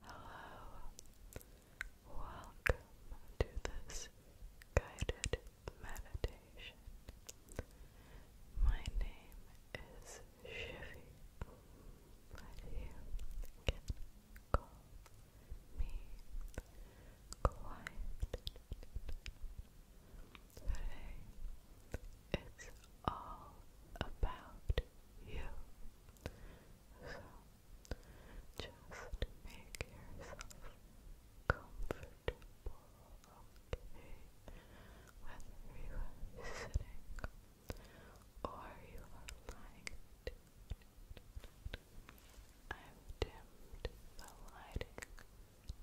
Hello, welcome to this guided meditation. My name is Shivy, but you can me Quiet Today, it's all about you. So, just make yourself comfortable, okay? Whether you are sitting or you are lying I've dimmed the lighting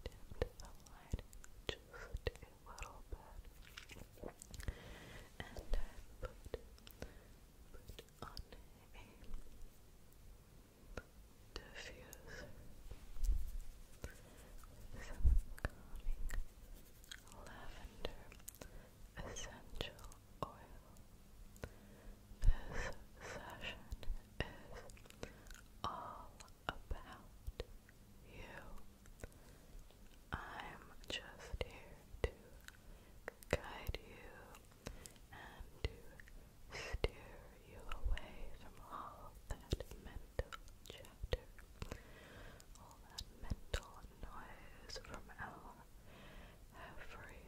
dim the light just a little bit, and I put put on a diffuser some calming lavender essential oil. This session is all about you. I'm just here to guide you and to steer you away from all that mental chatter, all that mental noise from our everyday life.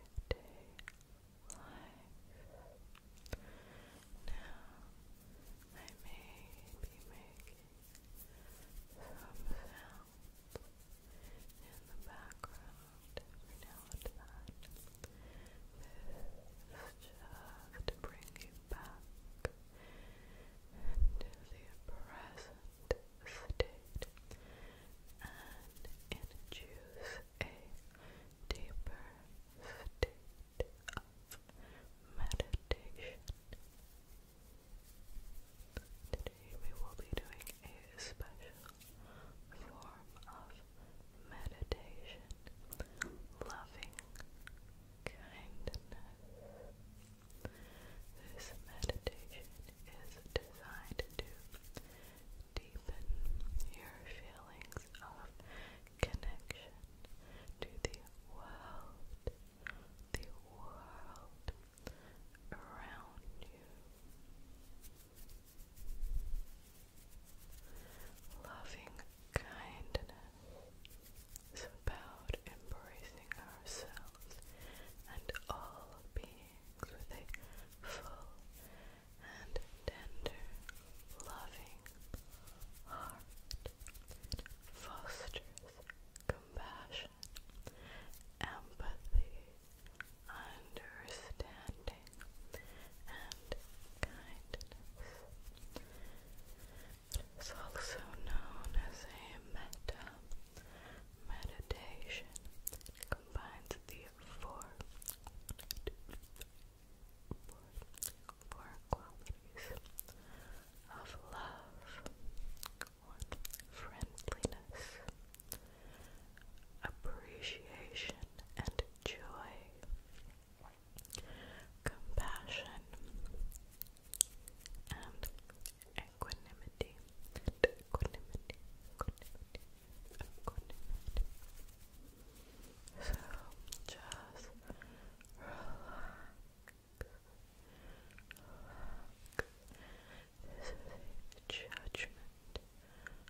Now, I may be making some sounds in the background now and then. just to bring you back into the present state and introduce a deeper state of meditation. Today we will be doing a special form of meditation, loving kindness. This meditation is designed to deepen your feelings of connection to the world, the world around you. Loving kindness about embracing ourselves and all beings with a full and tender, loving heart, fosters compassion, empathy, understanding, and kindness. It is also known as a metta meditation. combines the four four qualities of love. One, friendliness, appreciation and joy, compassion, and equanimity. And equanimity, equanimity, equanimity. So just relax. This is judgment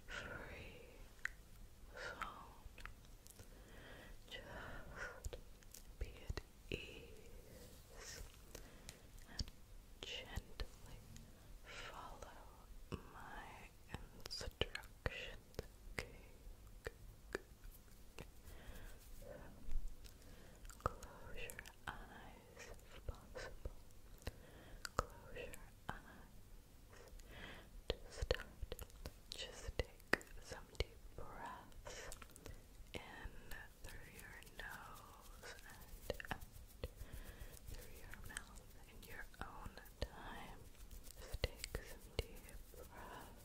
free zone. Just be at ease and gently follow my instructions actions. Okay, close your eyes if possible. Close your eyes. To just take some deep breaths in through your nose and out through your mouth in your own time. take some deep breaths.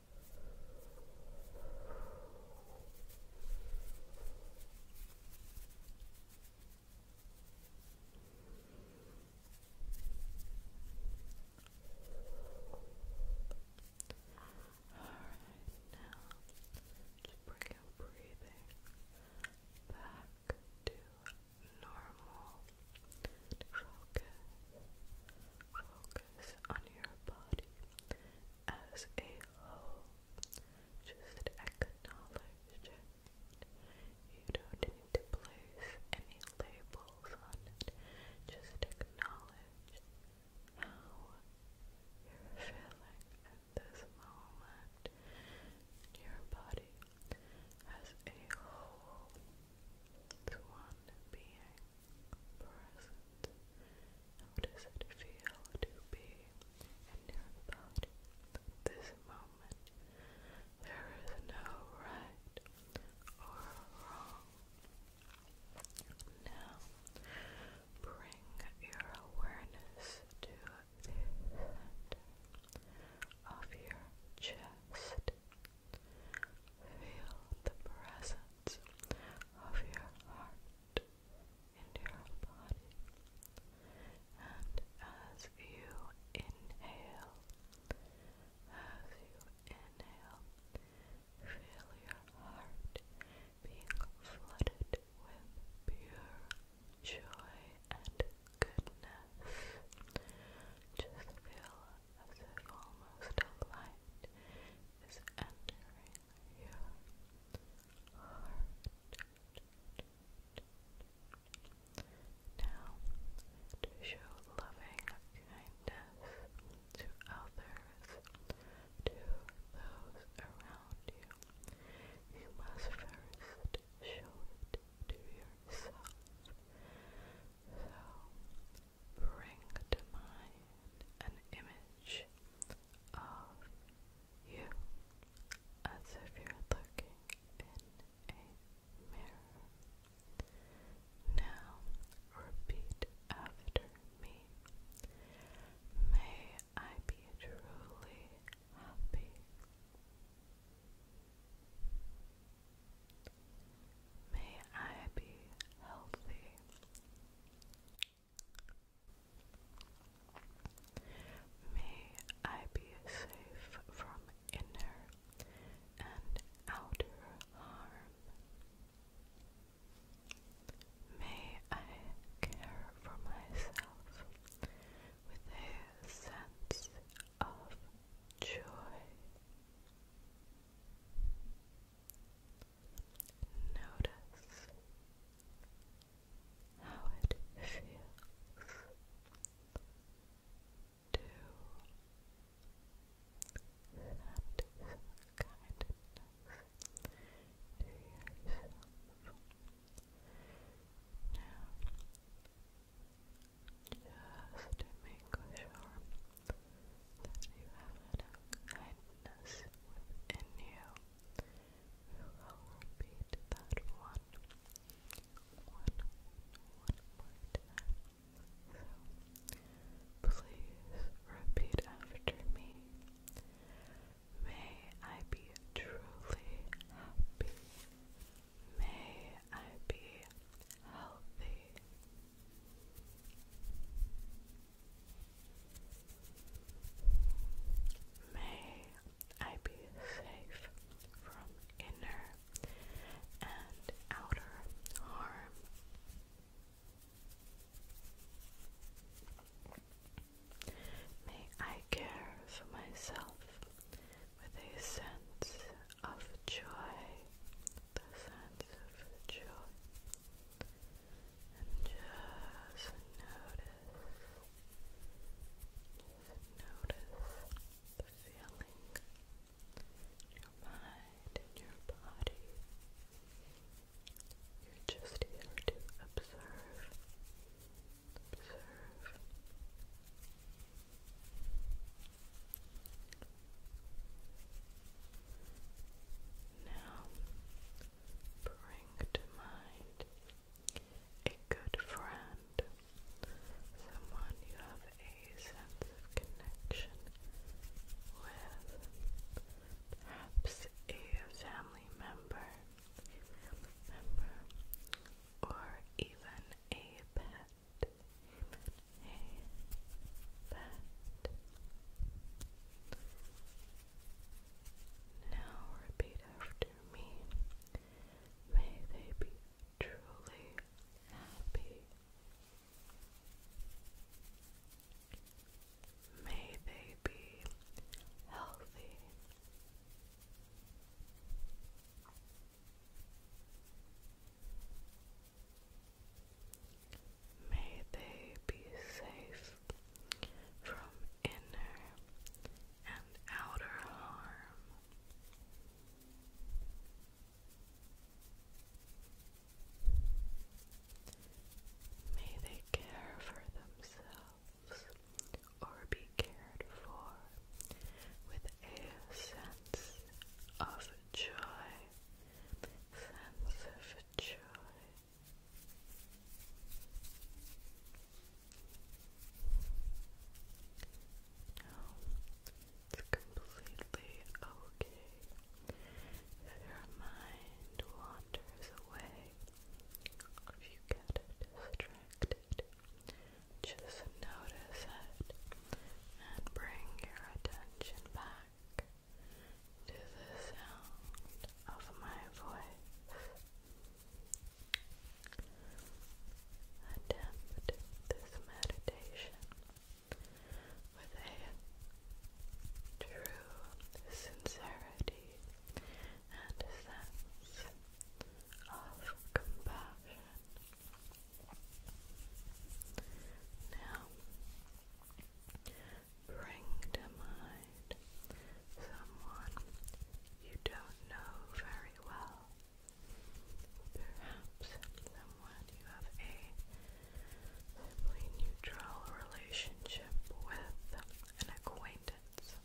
now just bring your breathing back to normal. Focus Focus on your body as a whole. Just acknowledge it. You don't need to place any labels on it. Just acknowledge how you're feeling at this moment. Your body as a whole. It's one being present? How does it feel to be in your body this moment? There is no right or wrong. Now, bring your awareness to the center of your chest. Feel the presence of your heart in your body. And as you inhale, as you inhale, feel your heart being flooded with pure joy and goodness. Just feel as if almost a light is entering your heart. Now, to show loving kindness to others, to those around you, you must first show it to yourself. So, bring to mind an image of you as if you're looking in a mirror. Now repeat after me. May I be truly happy. May I be healthy. May I be safe from inner and outer harm. May I care for myself with a sense of joy. Notice how it feels to send some kindness to yourself. Now, just to make sure that you have enough kindness within you. repeat that one, one, one more time. please repeat after me. May I be truly happy. May I be healthy. May I be safe from inner and outer harm. May I care for myself with a sense of joy the sense of joy and just notice, notice the feeling in your mind and your body. You're just here to observe, observe. Now, bring to mind a good friend, someone you have a sense of connection with, perhaps a family member, member or even a pet that, that. Now repeat after me. May they be truly happy. May they be healthy. May they be safe from inner and outer harm. May they care for themselves or be cared for with a sense of joy, sense of joy. No, it's completely okay if your mind wanders away, if you get distracted. Just notice it and bring your attention back to the sound of my voice. Attempt this meditation with a true sincerity and sense of compassion now, bring to mind someone you don't know very well. Perhaps someone you have a simply neutral relationship with, an acquaintance,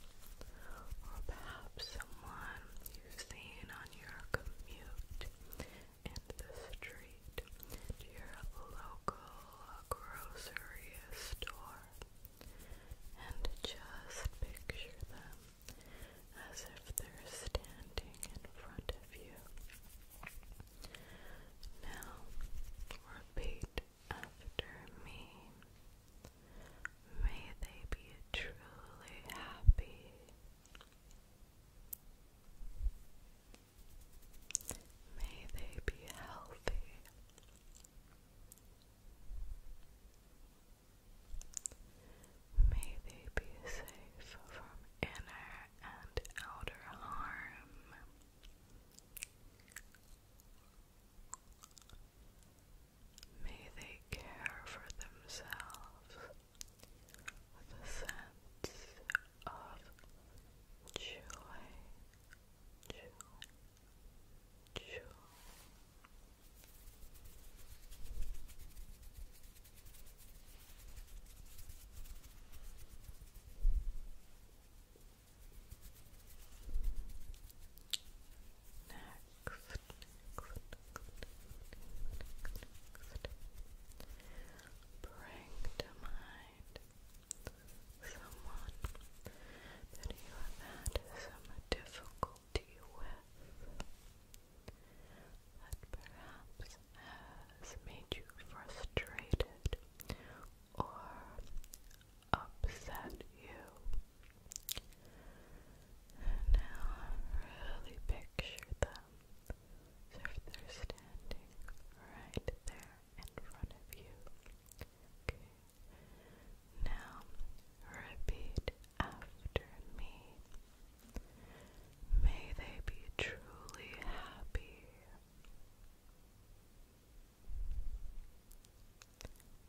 or perhaps someone you've seen on your commute and the street your local grocery store and just picture them as if they're standing in front of you. Now, repeat after me. May they be truly happy. May they be healthy. May they be safe from inner and outer harm. May they care for themselves with a sense of joy, next bring to mind someone that you have had some difficulty with that perhaps has made you frustrated or upset you. now really picture them so if they're standing right there in front of you, okay. Now repeat after me. May they be truly happy.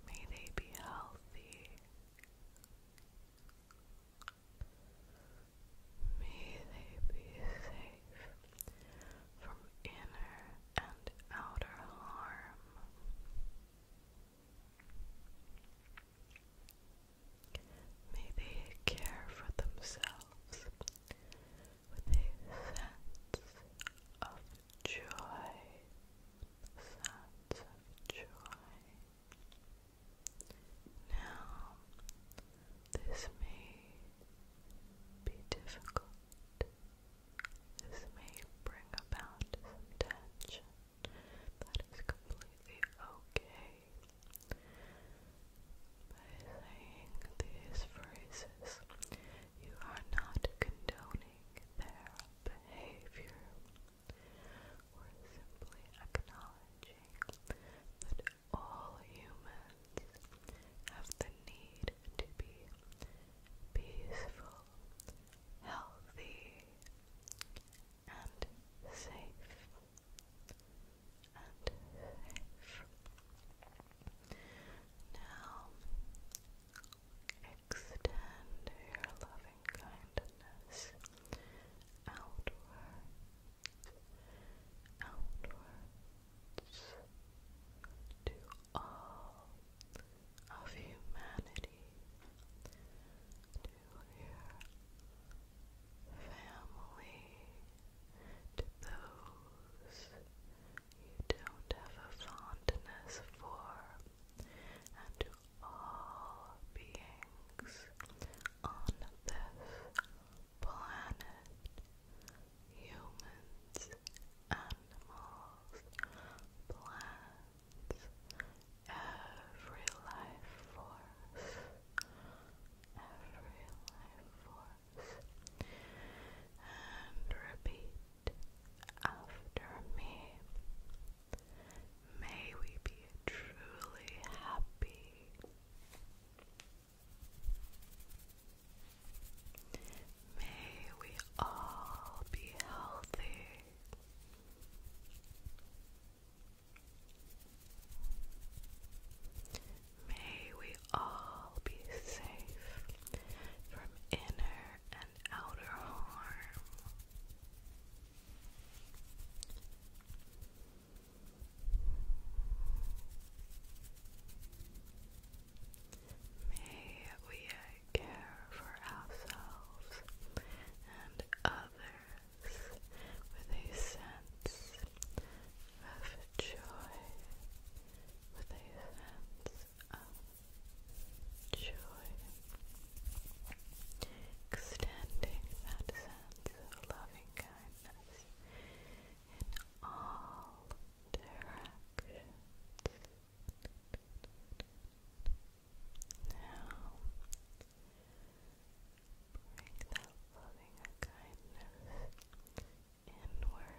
May they be healthy. May they be safe from inner and outer harm. May they care for themselves with a sense of joy, sense of joy. Now, this may be difficult. This may bring about some tension. That is completely okay. saying these phrases, you are not condoning their behavior or simply acknowledging that all humans have the need to be peaceful, healthy, and safe. And Now, extend your loving kindness outward outwards to all of humanity, to your family, to those you don't have a fondness for, and to all beings on this planet, humans, animals, plants, every life force, every life force, and repeat after me. May we be truly happy May we all be healthy. May we all be safe from inner and outer harm. May we care for ourselves and others with a sense of joy, with a sense of joy, extending that sense loving kindness in all directions. Now, bring that loving kindness inward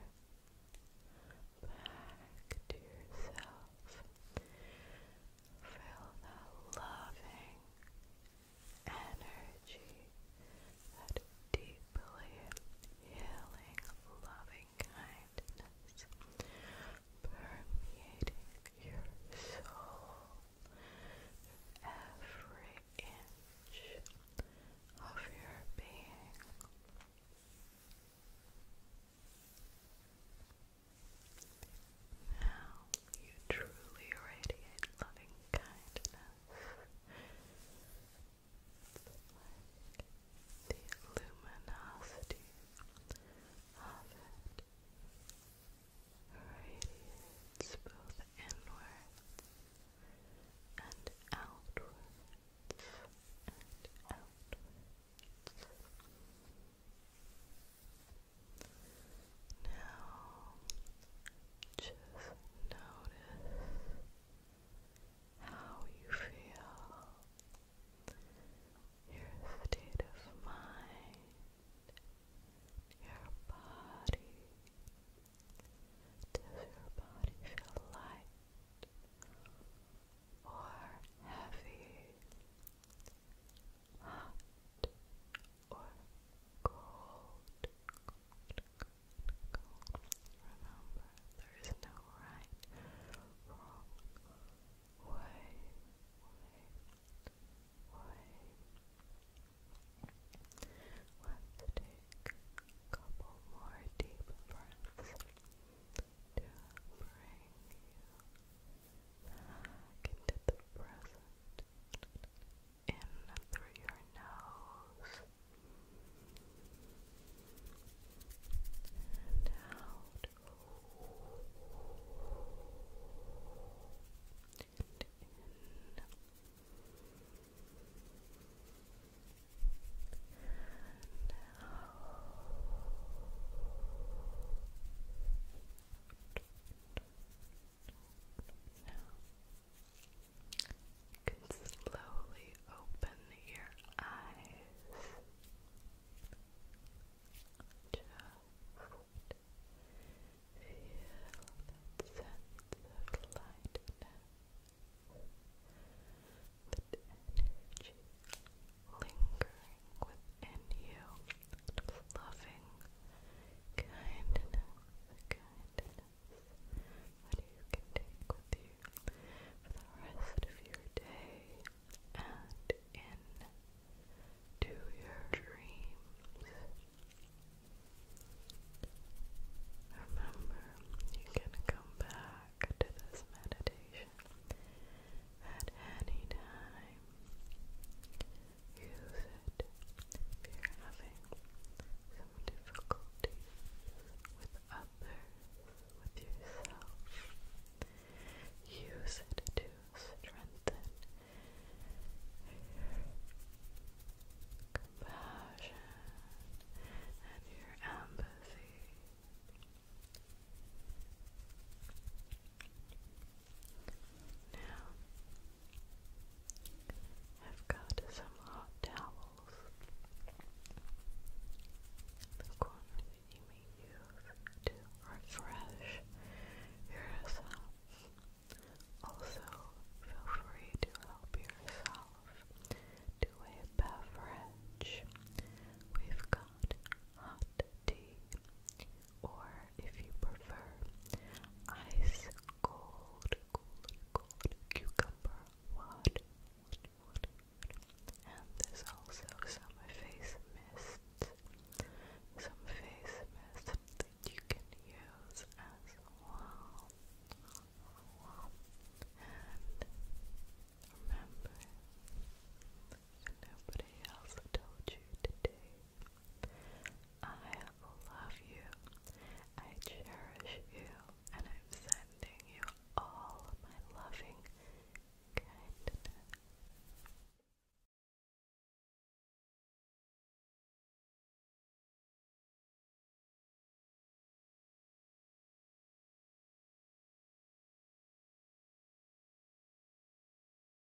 back to yourself. Feel that loving energy, that deeply healing, loving kindness permeating your soul every inch of your being. Now you truly radiate loving kindness. like the luminosity of it radiates both inwards and outwards now, just notice how you feel, your state of mind, your body. Does your body feel light or heavy? Hot or Remember, there is no right, wrong way. Let's take a couple more deep breaths to bring you Back into the present. In through your nose. And out. in. And out. Now, you can slowly open your eyes. Just feel that sense of lightness, that energy lingering within you loving kindness, kindness that you can take with you for the rest of your day and into your dreams. Remember, you can come back to this meditation at any time use it if you're having some difficulties with others, with yourself. Use it to strengthen compassion and your empathy. Now, I've got some hot towels. The ones that you may to refresh yourself. Also, feel free to help yourself to a beverage. We've got hot tea, or if you prefer, ice cold, cold, cold cucumber water. And there's also some face mist, some face mist that you can use as well. And remember, nobody else told you today, I love you. I cherish you. And I'm sending you all my loving kindness.